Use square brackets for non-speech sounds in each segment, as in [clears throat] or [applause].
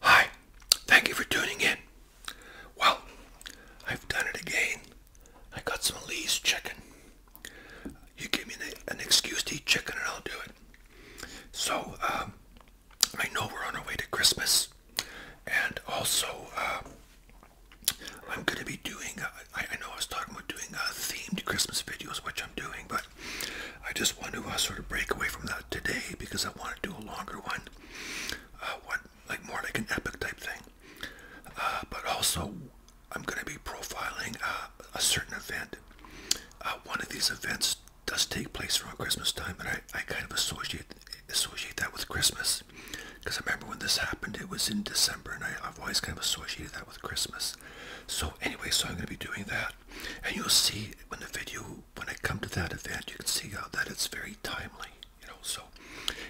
Hi, thank you for tuning in. Well, I've done it again. I got some Lee's chicken. You give me an excuse to eat chicken and I'll do it. So, um, I know we're on our way to Christmas, and also uh, I'm going to be doing. Uh, I, know I was talking about doing a uh, themed Christmas videos, which I'm doing, but I just want to sort of break away from that today because I want to do a longer one, uh, like more like an epic type thing. but also, I'm going to be profiling a certain event. one of these events does take place around Christmas time, and I, I kind of associate associate that with Christmas, because I remember when this happened, it was in December, and I, I've always kind of associated that with Christmas. So anyway, so I'm going to be doing that, and you'll see when the video, when I come to that event, you can see how that it's very timely, you know. So,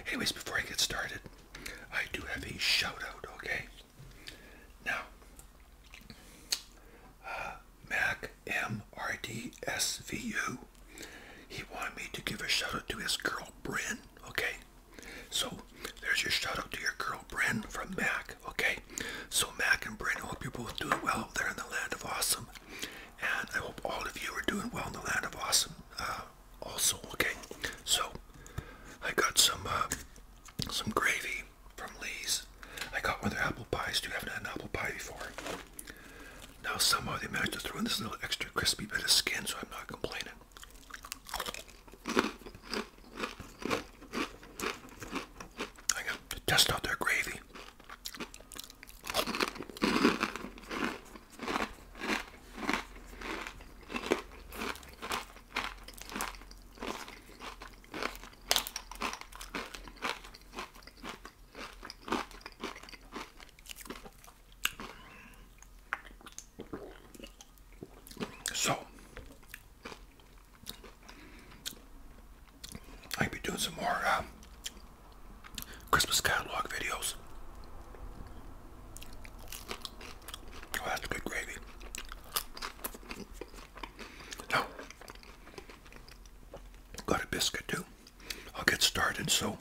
anyways, before I get started, I do have a shout out, okay? Now, uh, Mac MRDSVU. He wanted me to give a shout out to his girl Bryn, okay? So there's your shout out to your girl Bryn from Mac, okay? So Mac and Bryn, I hope you both doing well out there in the land of awesome. And I hope all of you are doing well in the land of awesome uh, also, okay? So I got some uh, some gravy from Lee's. I got one of their apple pies too. I haven't had an apple pie before. Now somehow they managed to throw in this little extra crispy bit of skin, so I'm not complaining. I got to out their gravy. So, I'll be doing some more um, Christmas catalog videos. Oh, that's good gravy. Now, Got a biscuit too. I'll get started. So,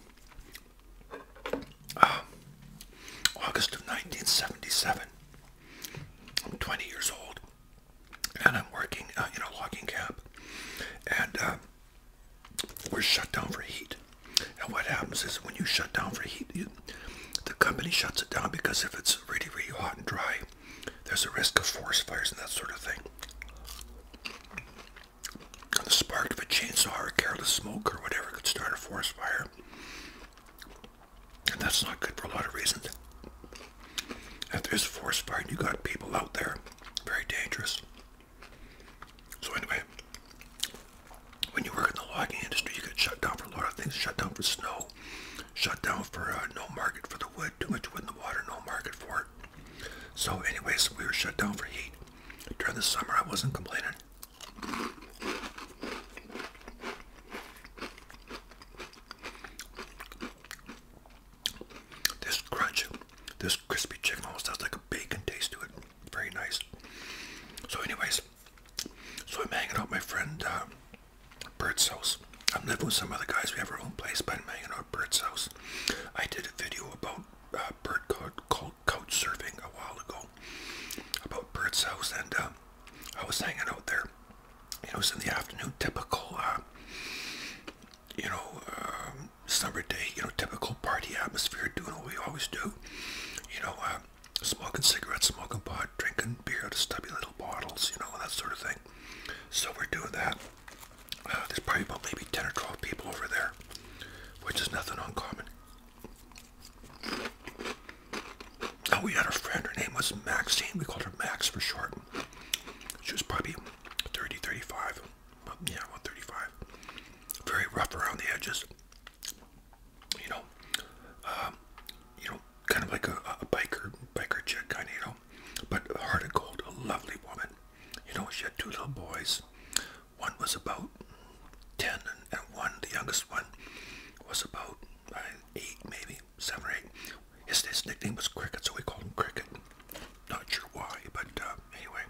um, August of 1977, I'm 20 years old, and I'm working uh, in a logging camp, and uh, we're shut down for heat. And what happens is when you shut down for heat, the company shuts it down because if it's really, really hot and dry, there's a risk of forest fires and that sort of thing. The spark of a chainsaw or careless smoke or whatever could start a forest fire. And that's not good for a lot of reasons. If there's a forest fire and you got people out there, very dangerous. So anyway, when you work in the logging industry, you get shut down for a lot of things. Shut down for snow, shut down for uh, no market for the wood, too much wood in the water, no market for it. So anyways, we were shut down for heat. During the summer, I wasn't complaining. This crunch, this crispy chicken almost has like a bacon taste to it. Very nice. So anyways, so I'm hanging out my friend uh, Bert's house. I'm living with some other guys. We have our own place, but I'm hanging out uh, Birds house. I did a video about bird uh, Bert called couch surfing a while ago about Birds house, and uh, I was hanging out there. It was in the afternoon, typical, you know, um, summer day, you know, typical party atmosphere, doing what we always do, you know, smoking cigarettes, smoking pot, drinking beer out of stubby little bottles, you know, that sort of thing. So we're doing that there's probably about maybe 10 or 12 people over there, which is nothing uncommon. Oh, we had a friend, her name was Maxine, we called her Max for short. She was probably 30, 35, but yeah, about 35. Very rough around the edges. You know, um, you know, kind of like a, biker, biker chick kind of, know. But Heart of Gold, a lovely woman. You know, she had two little boys. One was about 10 and, one, the youngest one, was about uh, 8 maybe, 7 or 8. His, nickname was Cricket, so we called him Cricket. Not sure why, but uh, anyway.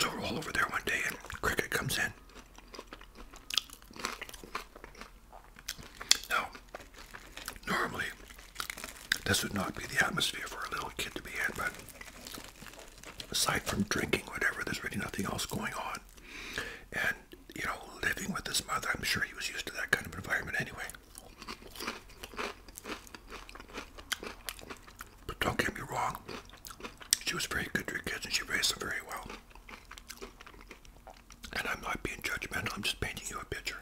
So we're all over there one day and Cricket comes in. Now, normally, this would not be the atmosphere for a little kid to be in, but aside from drinking, whatever, there's really nothing else going on. And, you know, living with his mother, I'm sure he was used to that kind of environment anyway. But don't get me wrong, she was very good to her kids and she raised them very well. And I'm not being judgmental, I'm just painting you a picture.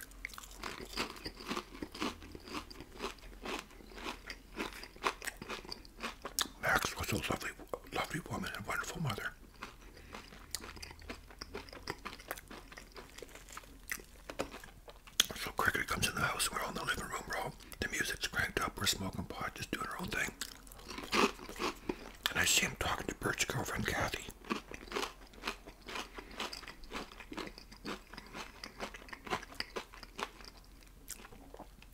Max was a lovely, lovely woman and wonderful mother. So Cricket comes in the house, we're in the living room, we the music's cranked up, we're smoking pot, just doing our own thing. And I see him talking to Bert's girlfriend, Kathy.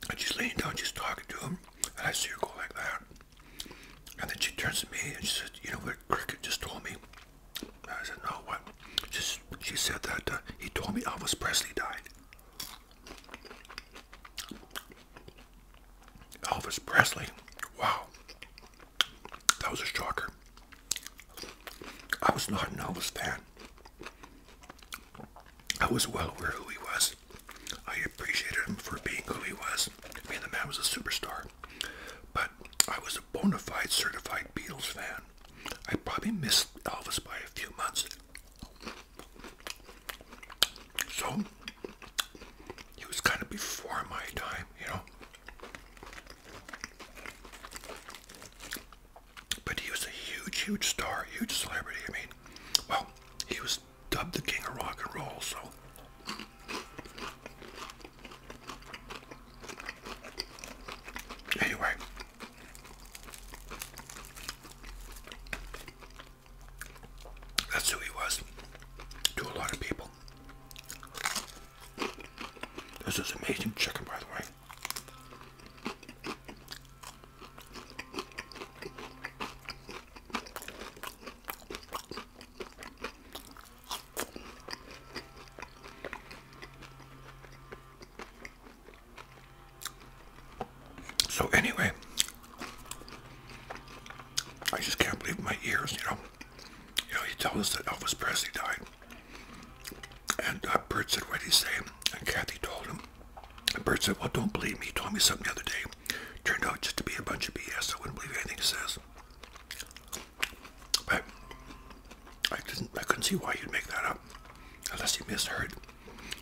And she's leaning down, she's talking to him, and I see her go like that. And then she turns to me and she said, you know what Cricket just told me? I said, no, what? She, she said that uh, he told me Elvis Presley died. Elvis Presley. Wow. That was a shocker. I was not an Elvis fan. I was well aware who he was. I appreciated him for being who he was. I mean, the man was a superstar. But I was a bona fide certified Beatles fan. I probably missed Elvis by a few months. So he was kind of before my time, you know. But he was a huge, huge star, huge celebrity. I mean, well, he was dubbed the king of rock and roll, so. Anyway, that's who he was to a lot of people. This is amazing chicken, by the way. So anyway, I just can't believe my ears, you know. You know, he tells us that Elvis Presley died. And uh, Bert said, what did he say? And Kathy told him. And Bert said, well, don't believe me. He told me something the other day. Turned out just to be a bunch of BS. I wouldn't believe anything he says. But I didn't. I couldn't see why you'd make that up, unless you misheard.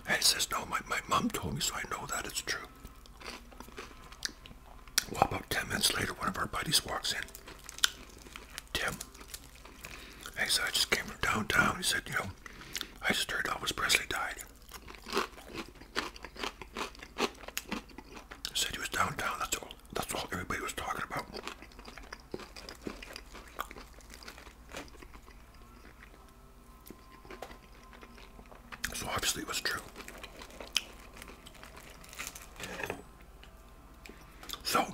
And he says, no, my, my mom told me, so I know that it's true. Well, about 10 minutes later, one of our buddies walks in. Tim. He said, I just came from downtown. He said, you know, I just heard Elvis Presley died. said he was downtown. That's all, that's all everybody was talking about. So obviously it was true. So,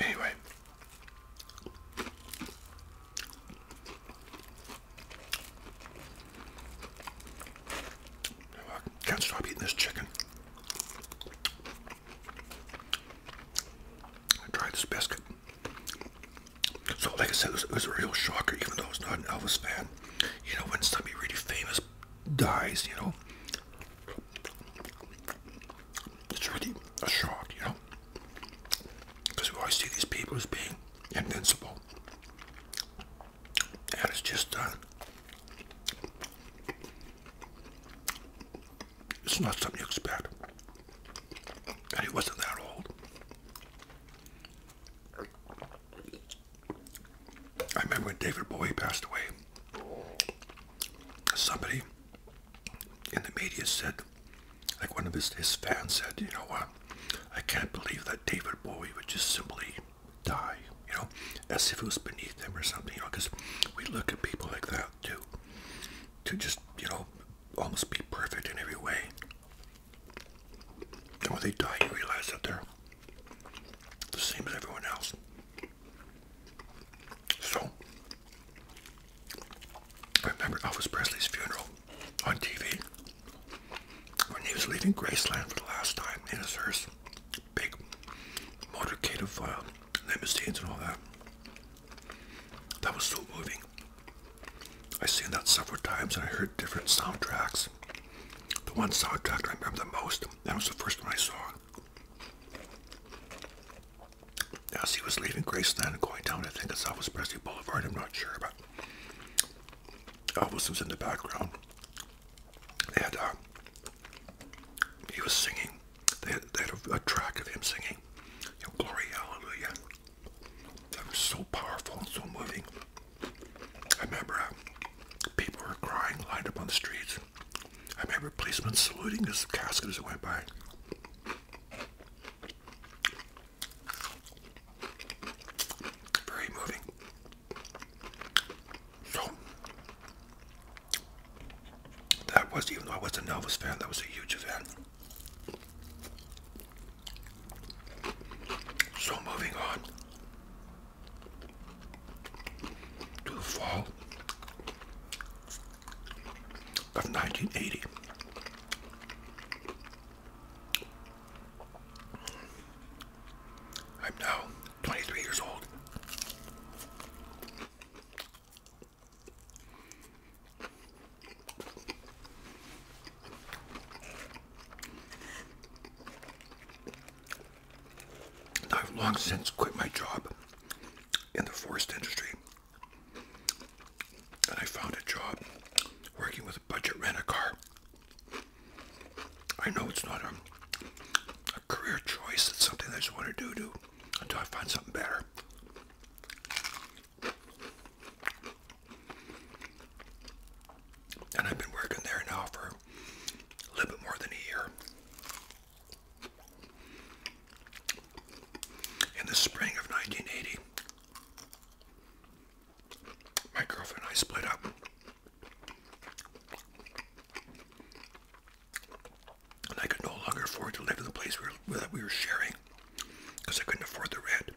anyway. can't stop eating this chicken. I this biscuit. So, like I said, it was, a real shocker, even though I was not an Elvis fan. You know, when somebody really famous dies, you know. It's really a shock, you know. Because we always see these people as being invincible. And it's just done. Uh, it's not something you expect. And he wasn't that old. I remember when David Bowie passed away, somebody in the media said, like one of his, his fans said, you know what, I can't believe that David Bowie would just simply die, you know, as if it was beneath him or something, you know, because we look at people like that too, to just, you know, almost be perfect in every way. And when they die, you realize that they're the same as everyone else. So, I remember Elvis Presley's funeral on TV when he was leaving Graceland for the last time in his hearse. Big motorcade of uh, limousines and all that. That was so moving. I've seen that several times and I heard different soundtracks the one soundtrack I remember the most. That was the first one I saw. As he was leaving Graceland and going down, I think it's Elvis Presley Boulevard, I'm not sure, but Elvis was in the background. And uh, he was singing. They had, a, track of him singing, Glory Hallelujah. That was so powerful and so moving. I remember uh, people were crying, lined up on the streets. I remember policemen saluting his casket as it went by. Very moving. that was, even though I was a Elvis fan, that was a huge event. So moving on, to the fall of 1980. I'm now 23 years old. I've long since quit my job in the forest industry. And I found a job working with a budget rent-a-car. I know it's not a, career choice. It's something I just want to do, do until I find something better. And I've been working there now for a little bit more than a year. In the spring of 1980, my girlfriend and I split up. And I could no longer afford to live in the place we that we were sharing because I couldn't afford the rent.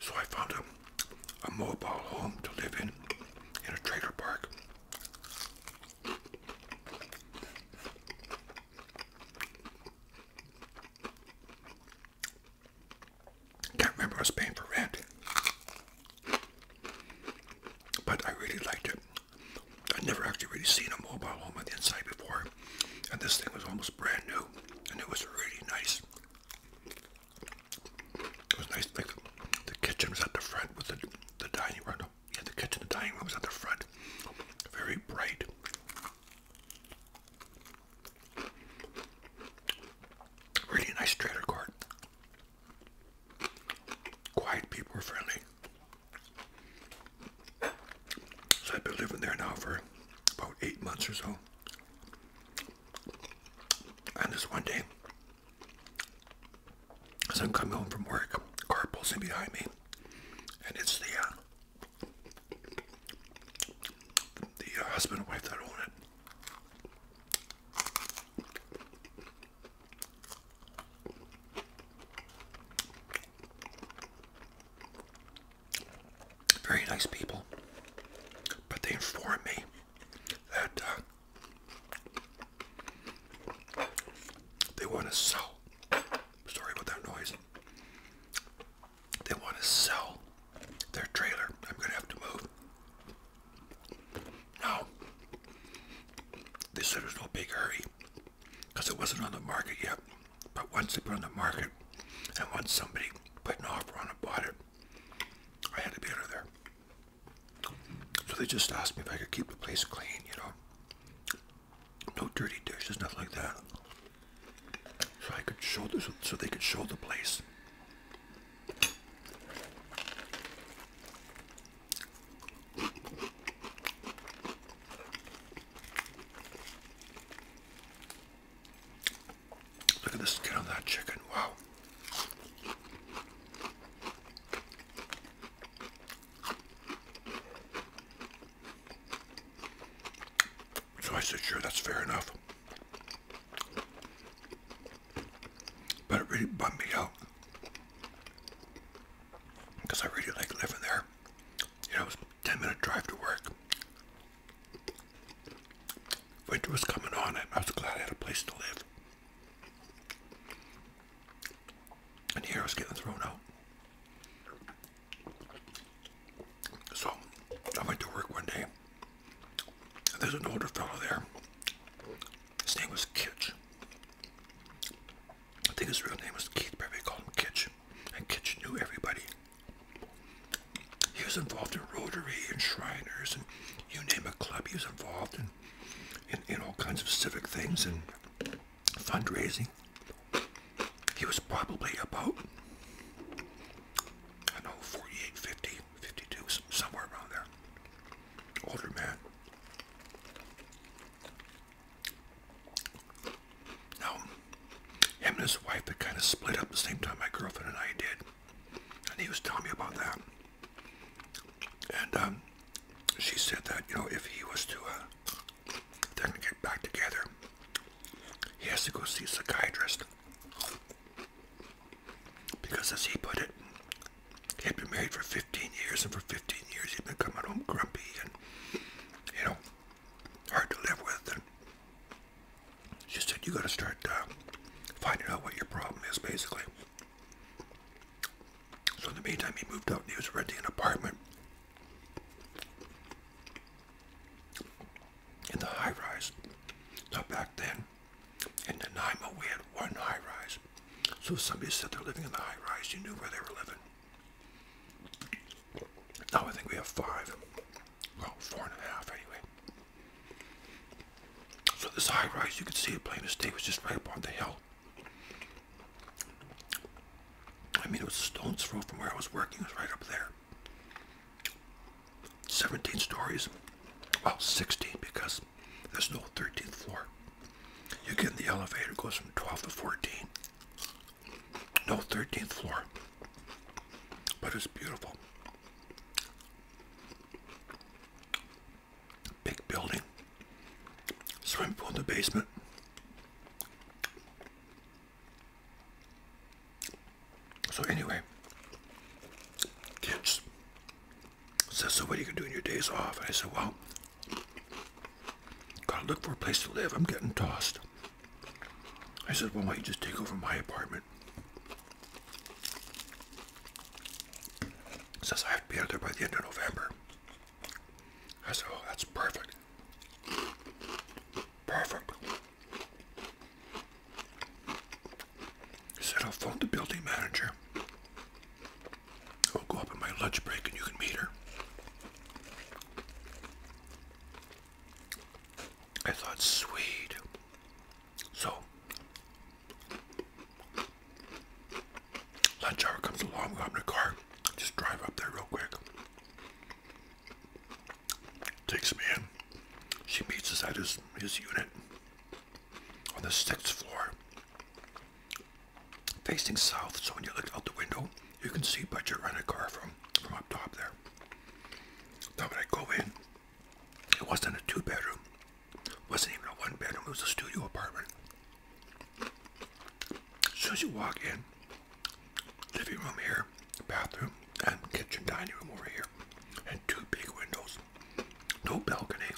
So I found a, a mobile home to live in, in a trailer park. Can't remember I paying for rent. But I really liked it. I'd never actually really seen a mobile home on the inside before. And this thing was almost brand new. And it was really nice. It was nice. Like the kitchen was at the front with the the dining room. No, yeah, the kitchen, the dining room was at the front. Very bright. Really nice trailer court. Quiet people were friendly. So I've been living there now for about eight months or so. And this one day, as I'm coming home from work, car pulling behind me, and it's the uh, the uh, husband and wife that own it very nice people, but they informed me that uh, they want to sell. Sorry about that noise. They want to sell their trailer. I'm going to have to move. Now, they said there's no big hurry because it wasn't on the market yet. But once they put on the market, and once somebody put an offer on it, bought it, I had to be out there. So they just asked me if I could keep the place clean, you know. No dirty dishes, nothing like that. So I could show this, so they could show the place. Look at the skin on that chicken. Wow. So I said, sure, that's fair enough. But it really bummed me out. Because I really like living there. You know, it was 10 minute drive to work. Winter was coming on, and I was glad I had a place to live. And here I was getting thrown out. So I went to work one day. there's an older fellow there. His name was Kitch. I think his real name was Keith, but we called him Kitch. And Kitch knew everybody. He was involved in Rotary and Shriners and you name a club. He was involved in, in, all kinds of civic things and fundraising. He was probably about, I know, 48, 50, 52, somewhere around there. Older man. Now, him and his wife had kind of split up the same time my girlfriend and I did and he was telling me about that. And um, she said that you know if he was to, uh, get back together, he has to go see a psychiatrist because, as he put it, he had been married for 15 years, and for 15 years he'd been coming home grumpy and you know hard to live with, she said you got to start uh, finding out what your problem is basically so in the meantime he moved out and he was renting an apartment in the high rise Not back then in Nanaimo we had one high rise so if somebody said they're living in the high rise you knew where they were living now I think we have five well, four and a half anyway. So this high rise, you could see a plain as day, was just right up on the hill. I mean, it was stone's throw from where I was working. It was right up there. 17 stories. Well, 16 because there's no 13th floor. You get in the elevator, goes from 12 to 14. No 13th floor. But it's beautiful. Big building. Swimming pool in the basement. So anyway, kids said, so what are you gonna do in your days off? I said, well, gotta look for a place to live. I'm getting tossed. I said, well, why don't you just take over my apartment? Says I have to be out there by the end of November. I said, oh, that's perfect. Perfect. He said, I'll phone the building manager. I'll go up in my lunch break and you can meet her. I thought, sweet. So, lunch hour comes along, I'm in a car, just drive up there real quick. Takes me in. She meets us at his, his unit on the sixth floor, facing south. So when you look out the window, you can see Budget Rent a Car from, from up top there. Now I go in, it wasn't a two bedroom, wasn't even a one bedroom, it was a studio apartment. As soon as you walk in, living room here, bathroom, and kitchen dining room over here, and two big windows. No balcony,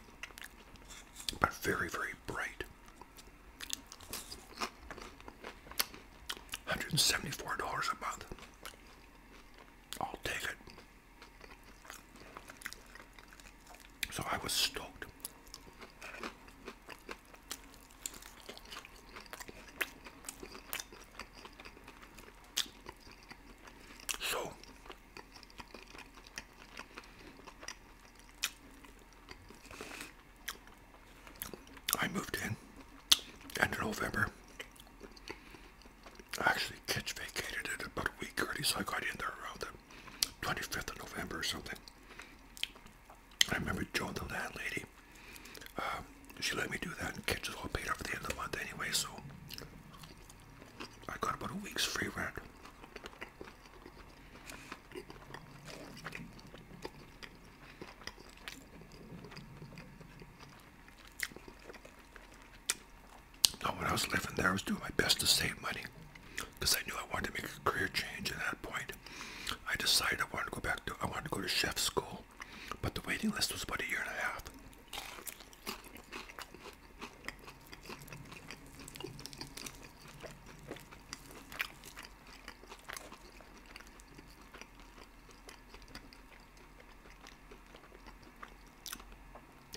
but very, very bright. $174 a month. I'll take it. So I was stoked. So I moved in end of November actually Kitch vacated it about a week early, so I got in there around the 25th of November or something. I remember Joan, the landlady, lady; um, she let me do that, and Kitch was all paid up at the end of the month anyway, so I got about a week's free rent when I was living there, I was doing my best to save money because I knew I wanted to make a career change at that point. I decided I wanted to go back to, I wanted to go to chef school, but the waiting list was about a year and a half.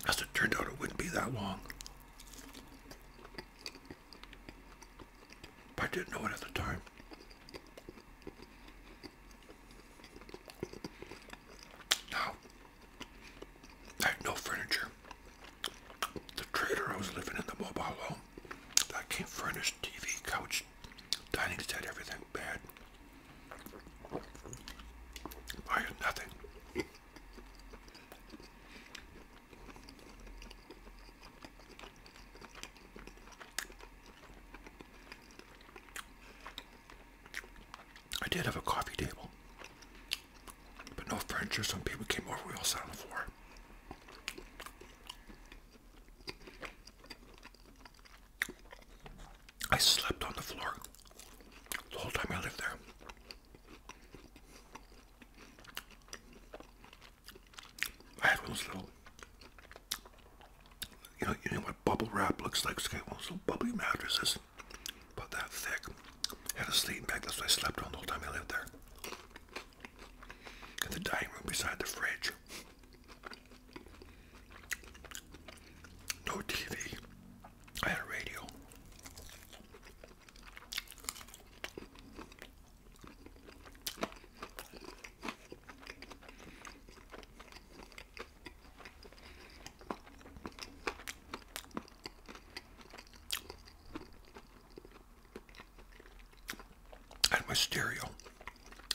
As it turned out, it wouldn't be that long. I didn't know it at the time. Now, I had no furniture. The trailer I was living in, the mobile home, that came furnished TV, couch, dining set, everything bad. I had nothing. I did have a coffee table, but no furniture. So when people came over, we all sat on the floor. I slept on the floor the whole time I lived there. I had one of those little, you know, you know what bubble wrap looks like. Okay, one of those little bubbly mattresses, about that thick. I had a sleeping bag. That's what I slept on the whole time I lived there. In the dining room beside the fridge. No TV. I had a radio. And my stereo,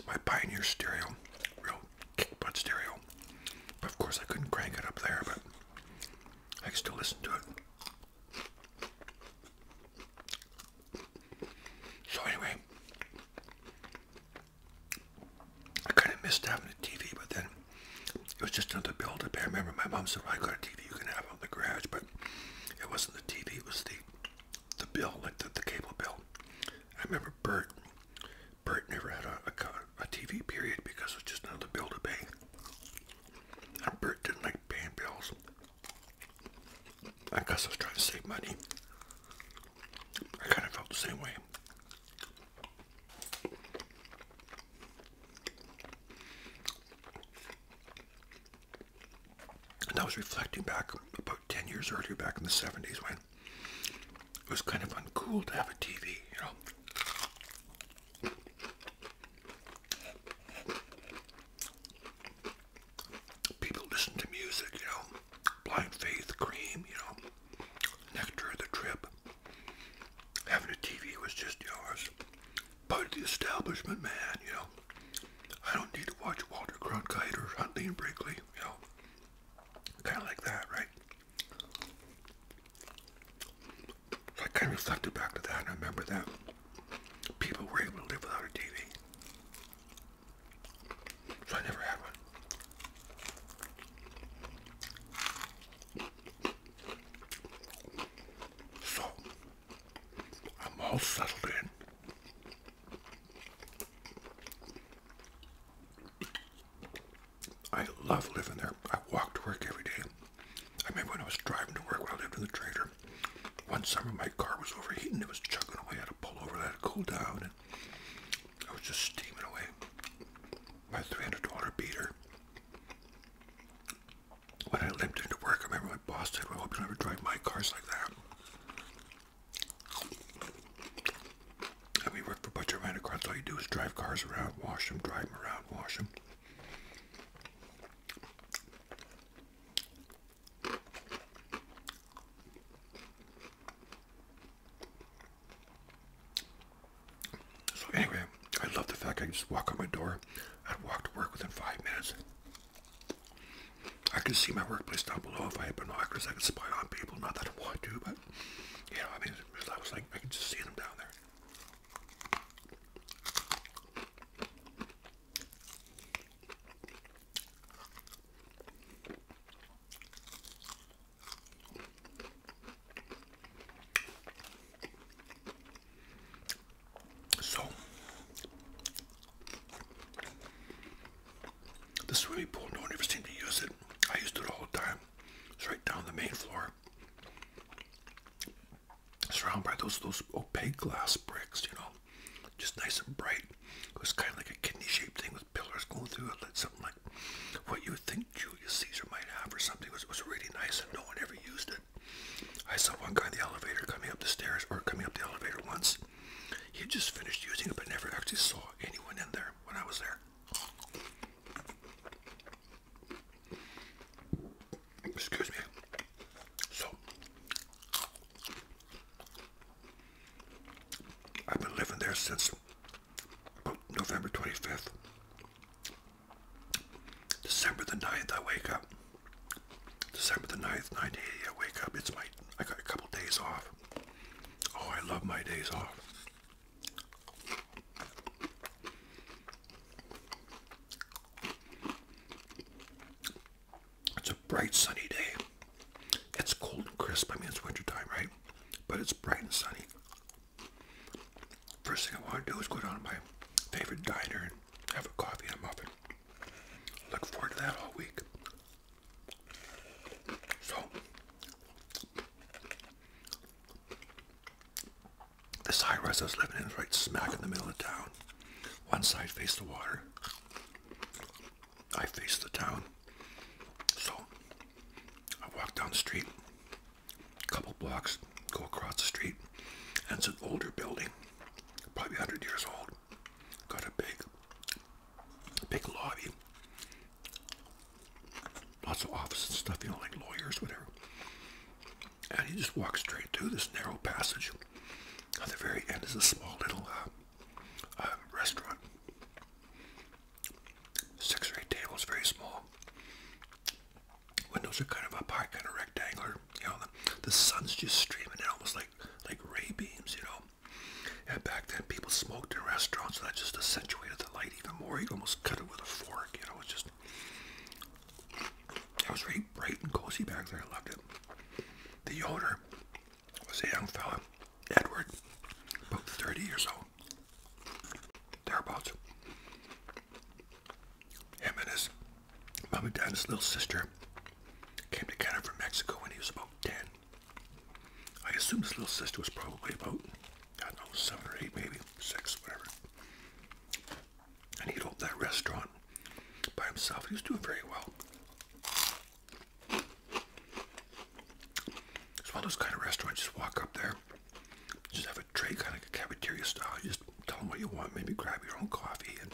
my Pioneer stereo, real kick butt stereo. of course, I couldn't crank it up there, but I still listen to it. So, anyway, I kind of missed having the TV, but then it was just another build up. I remember my mom said, well, I got a TV you can have on the garage, but it wasn't the TV, it was the the bill, like the, the cable bill. I remember Bert Bert never had a, a, TV period because it was just another bill to pay. And Bert didn't like paying bills. I guess I was trying to save money. I kind of felt the same way. And I was reflecting back about 10 years earlier, back in the 70s, when it was kind of uncool to have a TV, you know. People listen to music, you know. Blind Faith, Cream, you know. Nectar of the Trip. Having a TV was just, you part of the establishment, man, you know. I don't need to watch Walter Cronkite or Huntley and Brinkley, you know. Kind of like that, right? I kind of reflected back to that I remember that people were able to live without a TV. So I never had one. So, I'm all settled in. I love living there. I walk to work every day. I remember when I was driving to work when I lived in the trailer. One summer my car was overheating. It was chugging away. I had to pull over. I had to cool down. And I was just steaming away. My $300 beater. When I limped into work, I remember my boss said, well, I hope you never drive my cars like that. And we work for Butcher Rent a Car. All you do is drive cars around, wash them, drive them around, wash them. So anyway, I love the fact I can just walk out my door. I'd walk to work within five minutes. I could see my workplace down below if I had binoculars. I could spy on people. Not that I want to, but you know, I mean, I was like, I could just see them down there. So, the swimming pool, no one ever seemed to use it. I used it all the time time, straight down the main floor, surrounded by those those opaque glass bricks, you know, just nice and bright. It was kind of like a kidney-shaped thing with pillars going through it, like something like what you would think Julius Caesar might have or something. It was, was really nice, and no one ever used it. I saw one guy in the elevator coming up the stairs or coming up the elevator once. He just finished using it, but never actually saw anyone in there when I was there. Excuse me. So, I've been living there since November 25th. December the 9th, I wake up. December the 9th, 9 I wake up. It's my, I got a couple days off. Oh, I love my days off. It's a bright sunny day. It's cold and crisp. I mean, it's wintertime, right? But it's bright and sunny. First thing I want to do is go down to my favorite diner and have a coffee and a muffin. Look forward to that all week. So, this high rise I was living in is right smack in the middle of town. One side faced the water. I face the town. So I walk down the street, a couple blocks, go across the street, and it's an older building, probably 100 years old. Got a big, big lobby, lots of office and stuff, you know, like lawyers, whatever. And he just walks straight through this narrow passage. At the very end is a small little uh, um, restaurant. Six or eight tables, very small. Windows are kind of up high, kind of rectangular. You know, the, the sun's just streaming in almost like, like ray beams, you know. And back then, people smoked in restaurants, so that just accentuated the light biting more he'd almost cut it with a fork. You know, it's just it was really bright and cozy back there. I loved it. The owner was a young fellow, Edward, about 30 years old, thereabouts. Him and his mom and dad, little sister, came to Canada from Mexico when he was about 10. I assume his little sister was probably about I don't know, seven or eight, maybe six, whatever. And he'd open that restaurant by himself. He was doing very well. It's one of those kind of restaurants. Just walk up there, just have a tray, kind of like a cafeteria style. just tell them what you want. Maybe grab your own coffee. And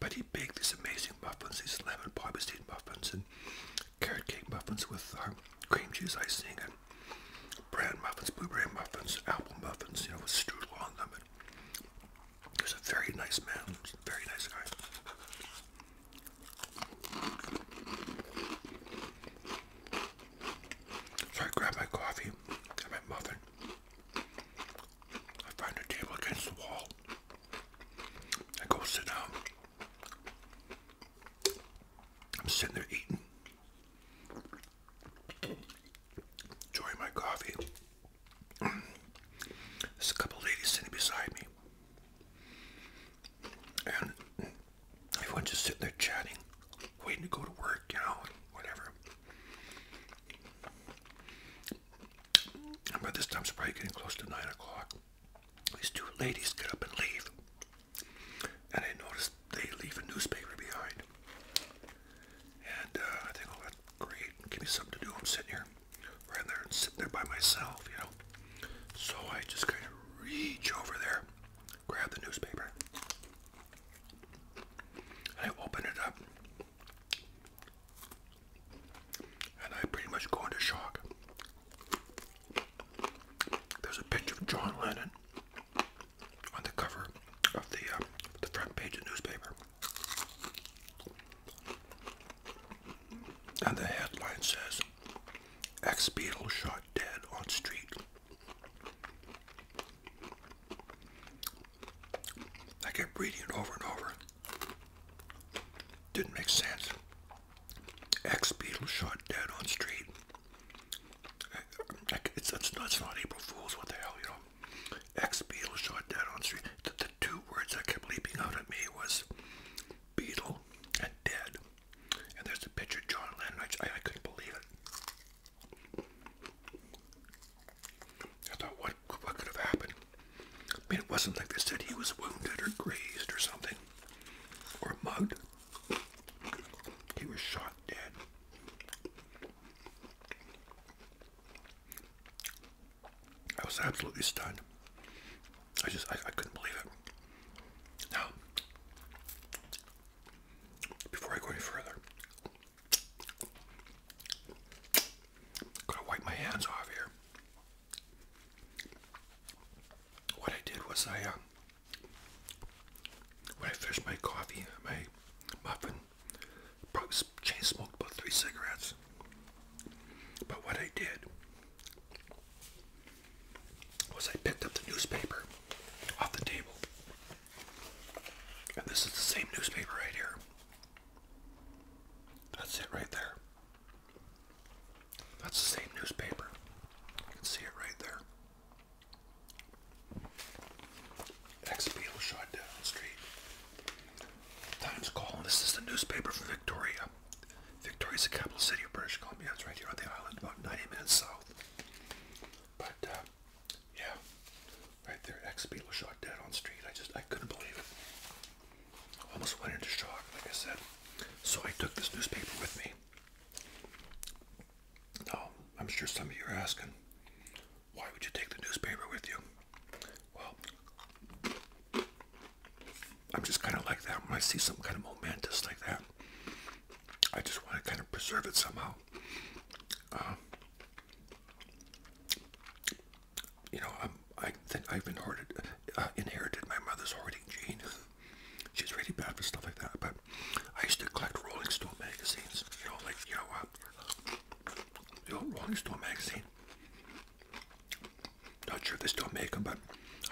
but he baked these amazing muffins, these lemon poppy seed muffins, and carrot cake muffins with um, cream cheese icing and bran muffins, blueberry muffins, apple muffins, you know, with strudel on them. And was a very nice man, very nice guy. So I grabbed my coffee and my muffin. I find a table against the wall. I go sit down. I'm sitting there eating Enjoying my coffee. There's a couple ladies sitting beside me. And everyone's just sitting there chatting, waiting to go to work, you know, whatever. And by this time, it's probably getting close to 9 o'clock. These two ladies get up and leave and I noticed they leave a newspaper behind. And uh, I think, oh, that's great. Give me something to do. I'm sitting here, right there, and sitting there by myself, you know. So I just kind of reach over there, grab the newspaper, and I open it up. And I pretty much go into shock. There's a picture of John Lennon on the cover of the uh, the front page of the newspaper. And the headline says, "X Beetle shot dead on street. I kept reading it over and over. Didn't make sense. Ex-Beatle shot dead on street. It's, not, April Fool's, what the hell, you know. Ex Beatle shot dead on street. The, two words that kept leaping out at me was Beatle and dead. And there's a picture of John Lennon. I, I couldn't believe it. I thought, what, what could have happened? I mean, it wasn't like they said he was wounded or grazed or something, or mugged. He was shot dead. I was absolutely stunned. I just, I, I couldn't believe it. Now, before I go any further, i to wipe my hands off here. What I did was I, uh, when I finished my coffee, my muffin, probably chain smoked about three cigarettes. But what I did was I picked up the newspaper off the table. And this is the same newspaper right here. That's it right there. That's the same newspaper. You can see it right there. Ex beetle shot dead on street. Times call, this is the newspaper from Victoria. Victoria's the capital city of British Columbia. It's right here on the island, about 90 minutes south. But uh, yeah, right there, ex beetle shot dead on street. I just I couldn't believe it. I Almost went into shock, like I said. So I took this newspaper with me. Now, oh, I'm sure some of you are asking, why would you take the newspaper with you? Well, I'm just kind of like that. When I see something kind of momentous like that, I just want to kind of preserve it somehow. Um, you know, i think I've uh, inherited my mother's hoarding gene. [laughs] She's really bad for stuff like that. But I used to collect Rolling Stone magazines. You know, like you know, uh, you know Rolling Stone magazine. Not sure if they still make them, but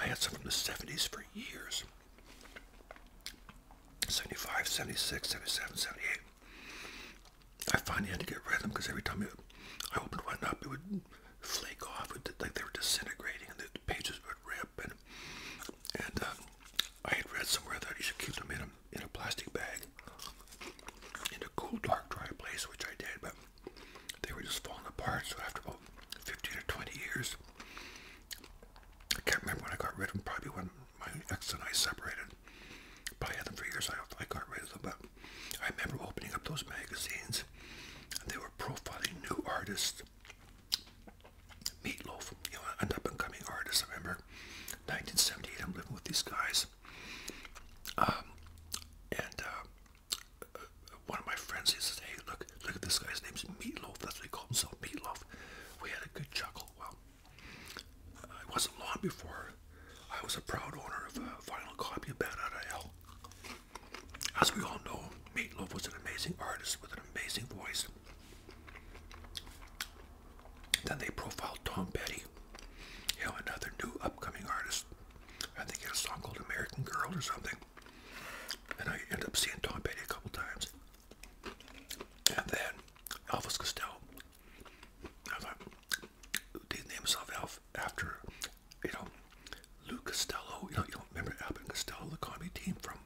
I had some from the 70s for years. 75, 76, 77, 78. I finally had to get rid of them because every time it, I opened one up, it would flake off, like they were disintegrating, and the pages would rip. And, and uh, I had read somewhere that you should keep them in a, in a plastic bag in a cool, dark, dry place, which I did, but they were just falling apart. So after about 15 or 20 years, I can't remember when I got rid of them, probably when my ex and I separated. I had them for years, I, I got rid of them, but I remember opening up those magazines, and they were profiling new artists Meatloaf, you know, an up and coming artist, I remember. 1978, I'm living with these guys. Um, and uh, one of my friends, he says, hey, look, look at this guy's name's Meatloaf. That's what he called himself, Meatloaf. We had a good chuckle. Well, uh, it wasn't long before I was a proud owner of a final copy of Bad Out As we all know, Meatloaf was an amazing artist with an amazing voice. Then they profiled Tom Petty, you know, another new upcoming artist. I think he had a song called American Girl or something. And I ended up seeing Tom Petty a couple times. And then Elvis Costello. I thought, did name himself Elf after, you know, Lou Costello. You know, you don't remember Abbott Costello, the comedy team from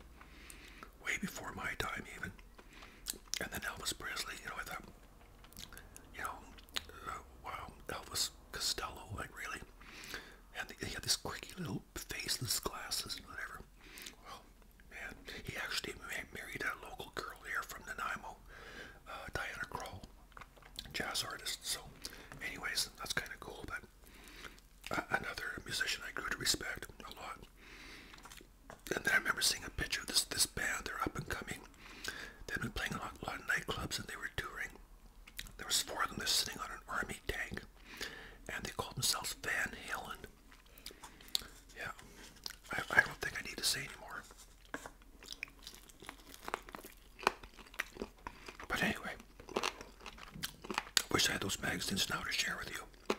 way before my time even. And then Elvis Presley, you know, I thought, you know, uh, wow, Elvis Costello, like really. And he had this quirky little faceless glasses and whatever. Well, man, he actually married a local girl here from Nanaimo, uh, Diana Kroll, jazz artist. So, anyways, that's kind of cool, but another musician I grew to respect a lot. And then I remember seeing a picture of this this band. They're up and coming. They've been playing a lot, a lot of nightclubs, and they were touring. There was four of them. They're sitting on an army tank, and they called themselves Van Halen. Yeah, I, I don't think I need to say anymore. But anyway, wish I had those magazines now to share with you.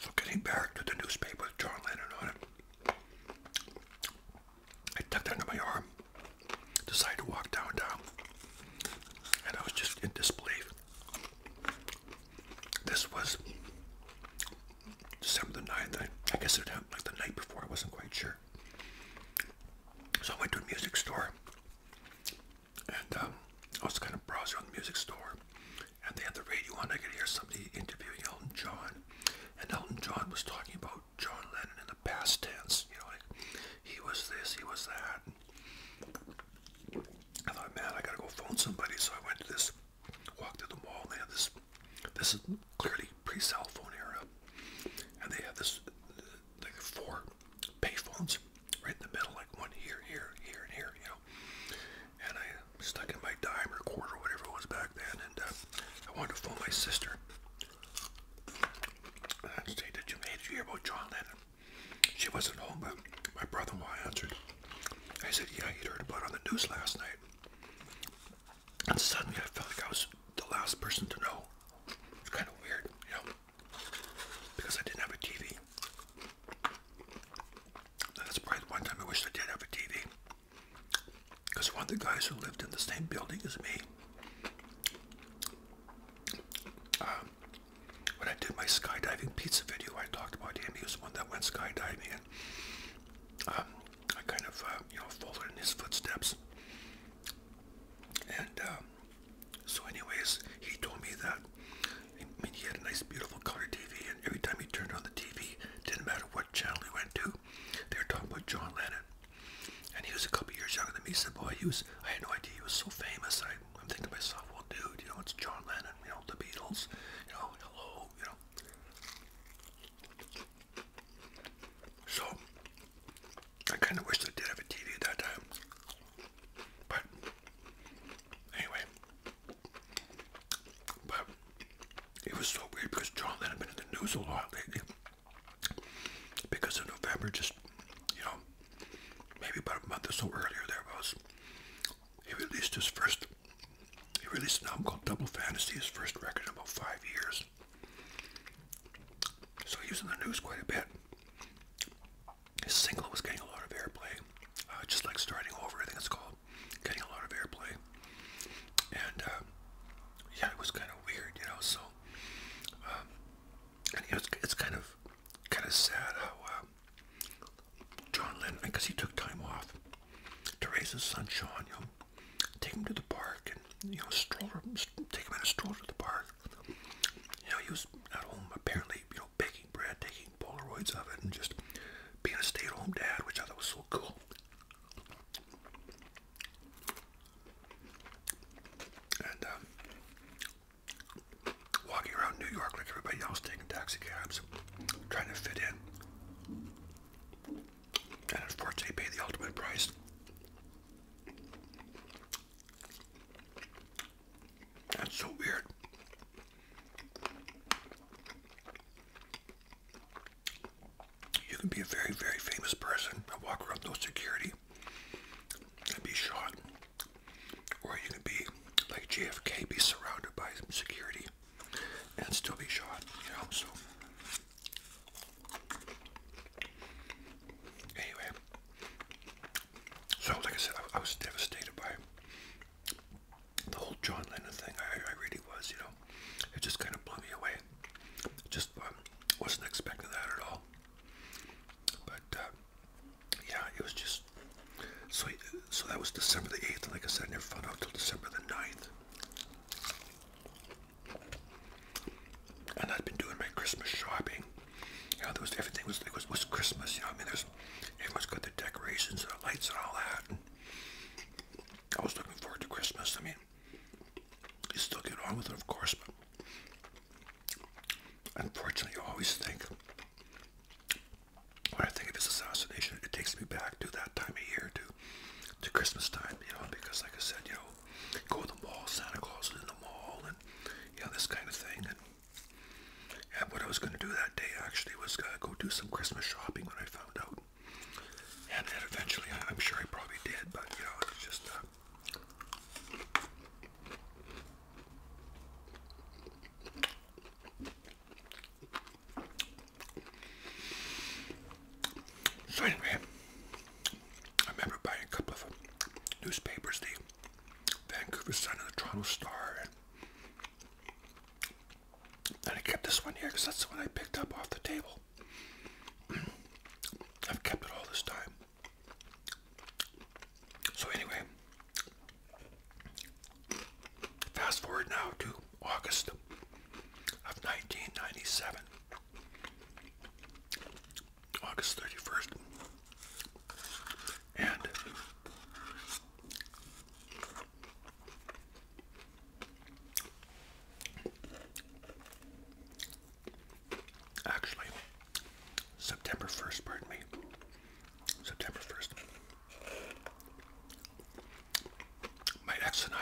So getting back to the newspaper with John Lennon on it, I tucked it under my arm, decided to walk downtown, and I was just in disbelief. This was December the 9th, I, I guess it happened like the night before, I wasn't quite sure. So I went to a music store, and um, I was kind of browsing on the music store, and they had the radio on. I could hear somebody interviewing Elton John, and Elton John was talking about John Lennon in the past tense. You know, like he was this, he was that. And I thought, man, I gotta go phone somebody. So I went to this, walked through the mall, and they had this. This is clearly pre-cell phone era, and they had this like four payphones right in the middle, like one here, here, here, and here, you know. And I stuck in my dime or quarter, or whatever it was back then, and uh, I wanted to phone my sister. I said, that you, made a you hear about John Lennon? She wasn't home, but my brother-in-law answered. I said, yeah, you heard about it on the news last night. And suddenly I felt like I was the last person to know. It's kind of weird, you know because I didn't have a TV. That's probably the one time I wish I did have a TV. Because one of the guys who lived in the same building as me, um, when I did my skydiving pizza video, I talked about him. He was the one that went skydiving, and um, I kind of, uh, you know, followed in his footsteps. And um, so, anyways, he told me that. I mean, he had a nice, beautiful color TV, and every time he turned on the TV, didn't matter what channel he went to, they were talking about John Lennon. And he was a couple years younger than me. He said, "Boy, he was—I had no idea he was so famous." I, I'm thinking to myself, "Well, dude, you know, it's John Lennon. You know, the Beatles. You know, hello, you know." So, I kind of wished I did have a TV at that time, but Anyway, but it was so weird because John Lennon been in the news a lot lately because of November. Just you know, maybe about a month or so earlier, there was he released his first. He released an album called Double Fantasy, his first record in about five years. So he was in the news quite a bit. His single was getting a lot of airplay, uh, just like starting over. I think it's called getting a lot of airplay, and um, yeah, it was kind of weird, you know. So, um, and you know, it's, it's kind of kind of sad how uh, John Lennon, because he took time off to raise his son Sean, you know, take him to the park and you know stroller, take him in a stroller to the park. You know, he was at home apparently by, you know, baking bread, taking Polaroids of it, and just being a stay-at-home dad, which I thought was so cool. And um, walking around New York like everybody else, taking taxi cabs, trying to fit in. And unfortunately, pay the ultimate price. That's so weird. You can be a very, very famous person and walk around no security and be shot. Or you can be like JFK, be surrounded by security and still be shot, you know, so. Anyway, so, like I said, I, was devastated by the whole John Lennon thing. I, really was, you know. It just kind of blew me away. Just um, wasn't expecting that at all. But uh, yeah, it was just so. So that was December the eighth, like I said, I never found out till December the 9th. And i have been doing my Christmas shopping you know, there was everything was it was, was Christmas. You know, I mean, there's everyone's got their decorations and the lights and all that. And I was looking forward to Christmas. I mean, you still get on with it, of course, but unfortunately, you always think when I think of this assassination, it takes me back to that time of year, to to Christmas time. You know, because like I said, you know, go to the mall, Santa Claus is in the mall, and you know this kind of thing. And, and what I was going to do that day actually was uh, go do some Christmas shopping when I found out. And then eventually, I'm sure I probably did, but you know, it's just. Uh, so anyway, I remember buying a couple of newspapers, the Vancouver Sun and the Toronto Star. And, and I kept this one here because that's the one I picked up off the table. [clears throat] I've kept it all this time. So anyway, fast forward now to August of 1997. August 31st and actually September 1st, pardon me, September 1st, my ex and I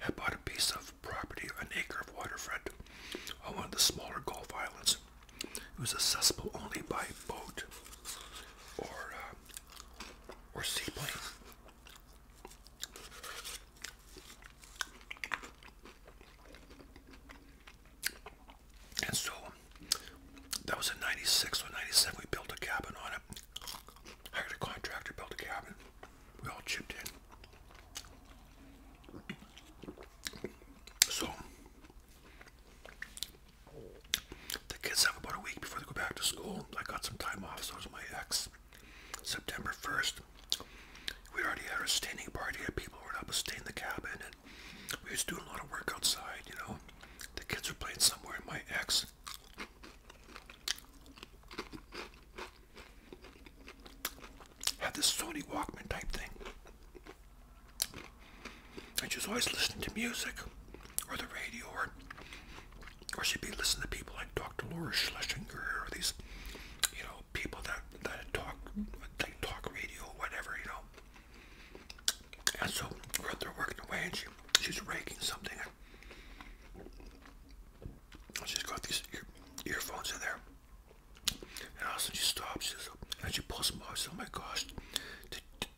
had bought a piece of property, an acre of waterfront on one of the smaller Gulf Islands. It was accessible only by boat or uh, or seaplane. And so that was in 96 or 97. We built a cabin on it. Hired a contractor, built a cabin. We all chipped in. So the kids have about a week before they go back to school. I got some time off, so does my ex. September 1st, we already had a staining party and people were up to stain the cabin and we was doing a lot of work outside, you know. The kids were playing somewhere and my ex had this Sony Walkman type thing and she's always listening to music or the radio or she'd be listening to people like Dr. Laura Schlesinger or these you know people that that talk like talk radio or whatever you know and so we're out there working away and she she's raking something and she's got these earphones in there and all of a sudden she stops and she pulls them off. oh my gosh,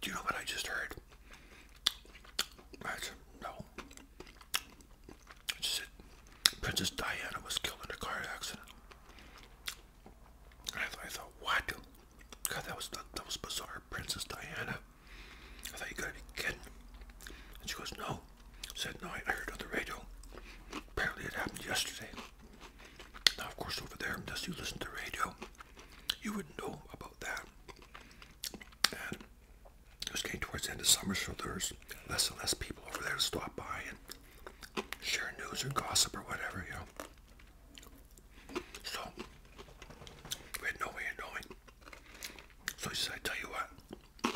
do you know what I just heard? That's, no. It said Princess Diana was killed in a car accident. I, thought, I thought, what? God, that was that, was bizarre. Princess Diana. I thought you gotta be kidding. And she goes, no. said, no, I, I heard on the radio. Apparently it happened yesterday. Now, of course, over there, unless you listen to radio, you wouldn't know about that. And it was getting towards the end of summer, so there's less and less people over there to stop by and share news or gossip or whatever, you know. So we had no way of knowing. So he said, I tell you what,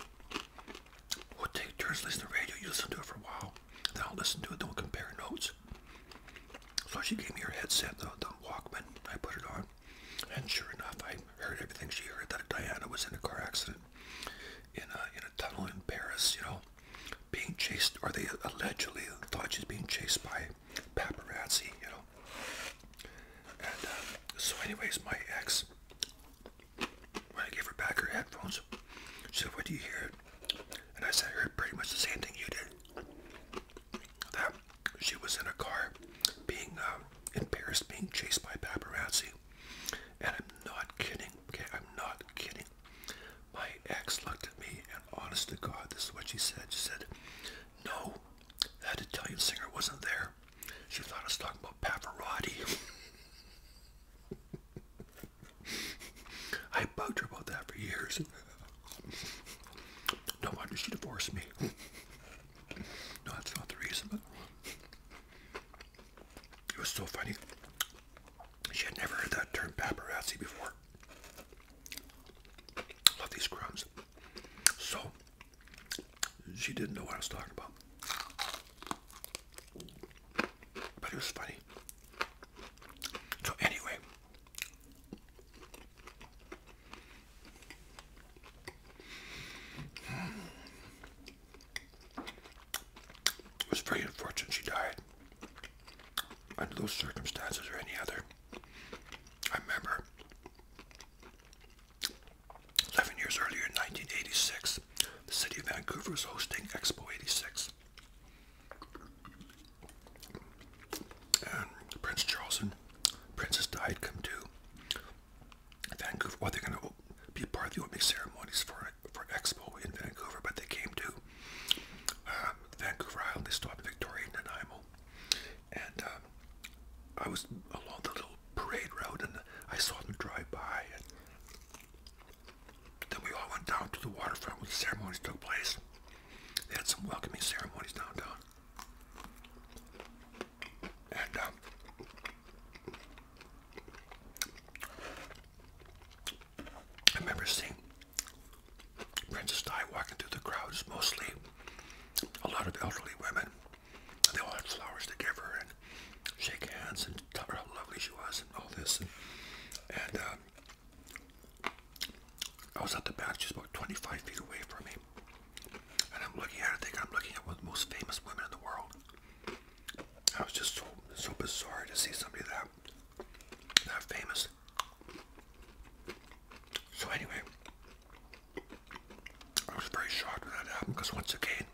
we'll take turns listening to the radio, you listen to it for a while, then I'll listen to it, then we'll compare notes. So she gave me her headset, the, Walkman. I put it on, and sure enough, I heard everything she heard. That Diana was in a car accident in a in a tunnel in Paris. You know, being chased, or they allegedly thought she's being chased by paparazzi. You know. And um, so, anyways, my ex, when I gave her back her headphones, she said, "What do you hear?" and I said, "I heard pretty much the same thing you did. That she was in a car being um, in Paris, being chased by paparazzi. And I'm not kidding, okay? I'm not kidding. My ex looked at me, and honestly, God, this is what she said. She said, No, that Italian singer wasn't there. She thought I was talking about Pavarotti. [laughs] I bugged her about that for years. No wonder she divorced me. No, that's not the reason, but it was so funny. She had never heard that term paparazzi before. Love these crumbs. So, she didn't know what I was talking about. But it was funny. So anyway, it was very unfortunate she died under those circumstances or any other. I remember 11 years earlier in 1986, the city of Vancouver was hosting Expo 86. And Prince Charles and Princess Diana come to Vancouver. Well, they're going to be part of the opening ceremonies for for Expo in Vancouver, but they came to uh, Vancouver Island. They stopped in Victoria and Nanaimo, and uh, I was along the little parade route, and I saw them drive by. And then we all went down to the waterfront where the ceremonies took place. They had some welcoming ceremonies downtown. And um, I remember seeing Princess Di walking through the crowds, mostly a lot of elderly women. They all had flowers to give her and shake hands and tell her how lovely she was and all this. And, and um, I was at the back just about 25 feet away from me. And I'm looking at it, think I'm looking at one of the most famous women in the world. I was just so, so bizarre to see somebody that, that famous. So anyway, I was very shocked when that happened because once again,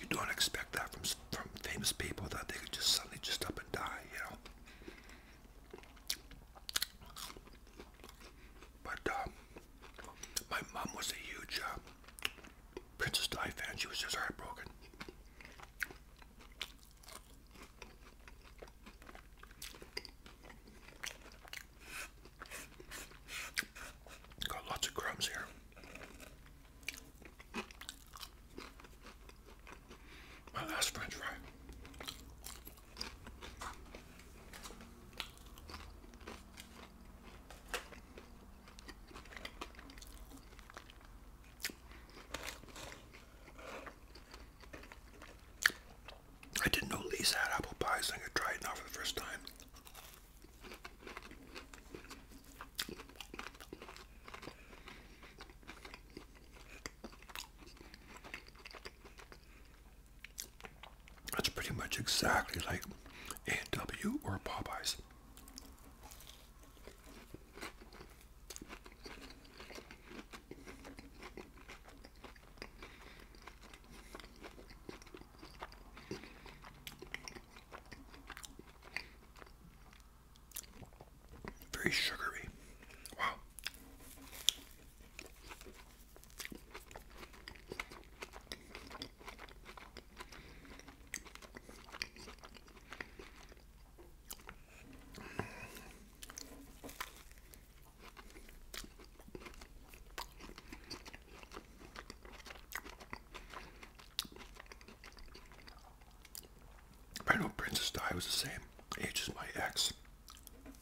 you don't expect that from from famous people that they could just suddenly just up and die, you know. But um, my mom was a huge uh, Princess Di She was just heartbroken. Got lots of crumbs here. My last french fry. I didn't know Lisa had apple pie, so I'm going to try it now for the first time. That's pretty much exactly like A&W or Popeyes. Very sugary. I know Princess Di was the same age as my ex.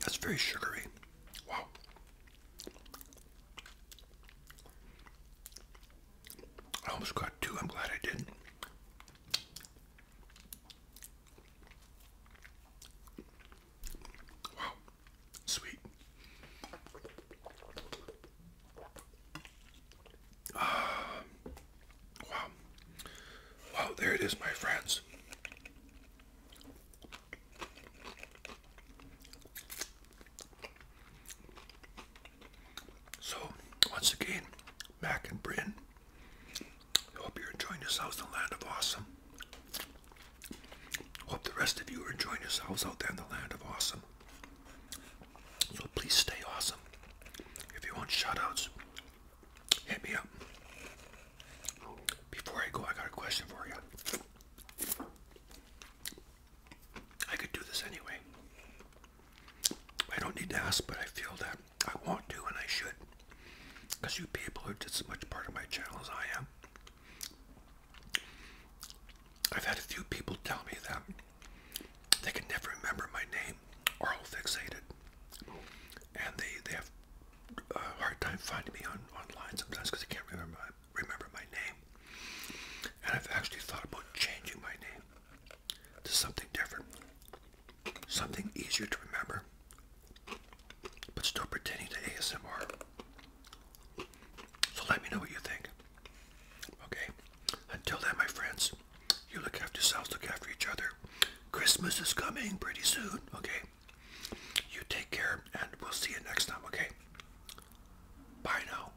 That's very sugary. Wow. I almost got two. I'm glad I didn't. Wow. Sweet. Uh, wow. Wow, there it is, my friends. So, once again, Mac and Bryn, hope you're enjoying yourselves in the land of awesome. Hope the rest of you are enjoying yourselves out there in the land of awesome. So please stay awesome. If you want shoutouts, hit me up. Before I go, I got a question for you. I could do this anyway. I don't need to ask, but I feel that I want to and I should. Because you people are just as much part of my channel as I am. I've had a few people tell me that they can never remember my name, oral fixated. And they, they have a hard time finding me on online sometimes because I can't remember my, remember my name. And I've actually thought about changing my name to something different, something easier to remember, but still pretending to ASMR. So let me know what you think. Okay. Until then, my friends, you look after yourselves, look after each other. Christmas is coming pretty soon. Okay. You take care, and we'll see you next time, okay? Bye now.